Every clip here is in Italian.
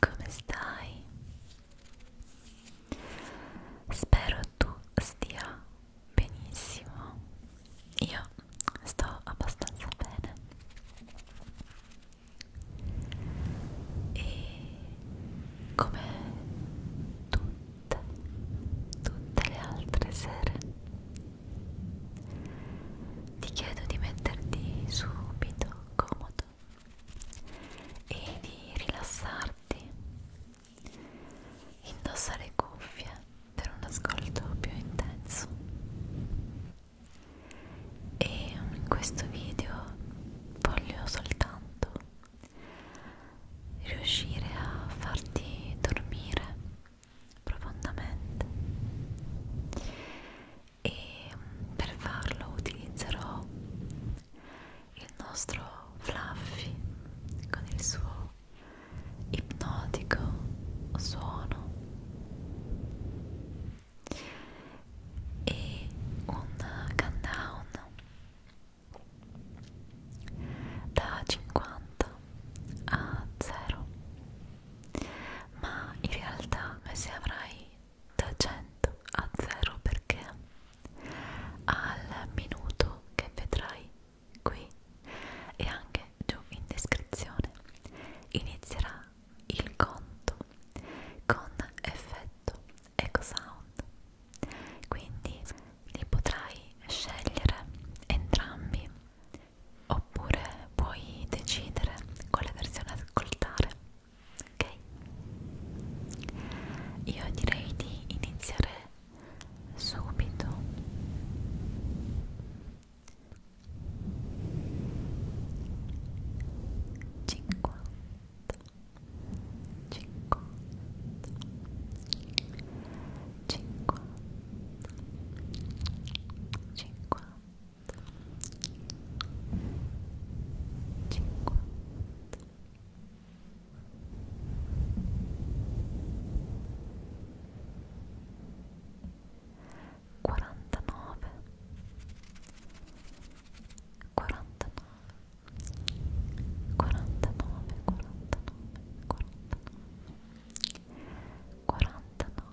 come stai? Spero tu stia benissimo. Io sto abbastanza bene. E come tutte, tutte le altre sere, ti chiedo di metterti subito comodo e di rilassarti, indossare cuffie per un ascolto più intenso. E in questo video voglio soltanto riuscire a farti dormire profondamente e per farlo utilizzerò il nostro Fluffy con il suo ipnotico suono e un countdown da 50 a 0 ma in realtà se avrai da 100 a 0 perché al minuto che vedrai qui e anche giù in descrizione inizierà il conto con effetto eco sound quindi li potrai scegliere entrambi oppure puoi decidere quale versione ascoltare ok io direi di iniziare subito cinquanta cinquanta cinquanta cinquanta quarantanove quarantanove quarantanove quarantanove quarantanove quarantanove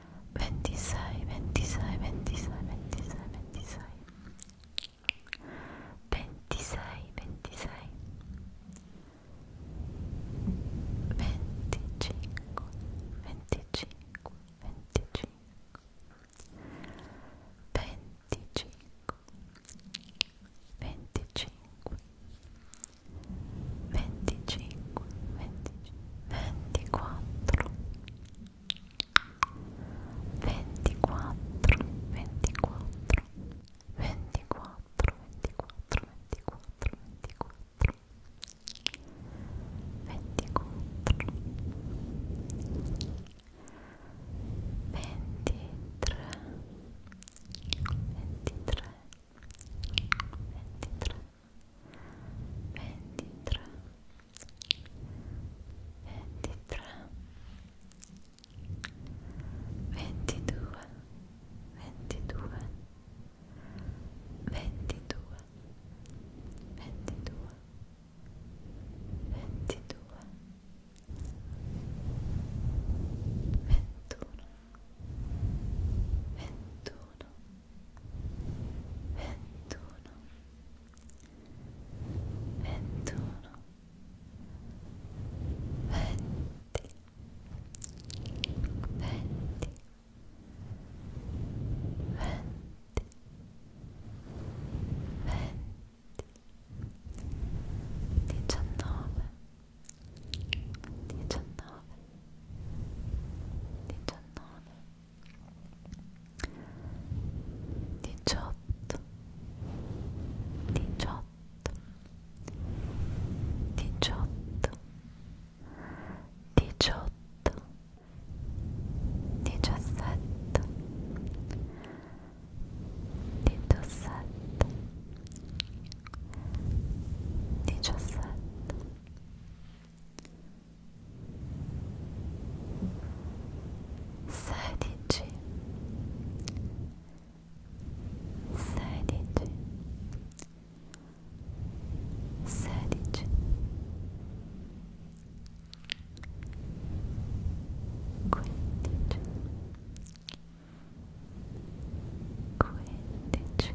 26, sai, Wendy sai, 26, 26, Wendy 25 25 25 25 25 25 25 ventiquattro ventiquattro ventiquattro ventiquattro ventiquattro ventiquattro ventiquattro ventiquattro ventitre ventitre ventitre ventitré ventitré ventidue ventidue ventidue ventidue ventidue ventuno ventuno ventuno ventuno venti venti venti venti diciannove diciannove diciannove diciotto diciotto diciotto diciotto diciassette diciassette diciassette sedici sedici sedici quindici quindici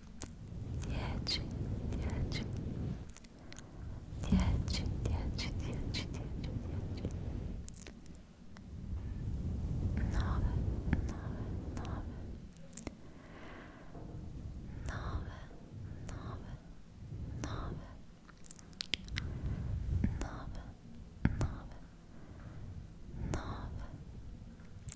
Dieci, dieci, dieci, dieci, dieci, dieci, dieci, nove, nove, nove, nove, nove, nove, nove, nove, nove,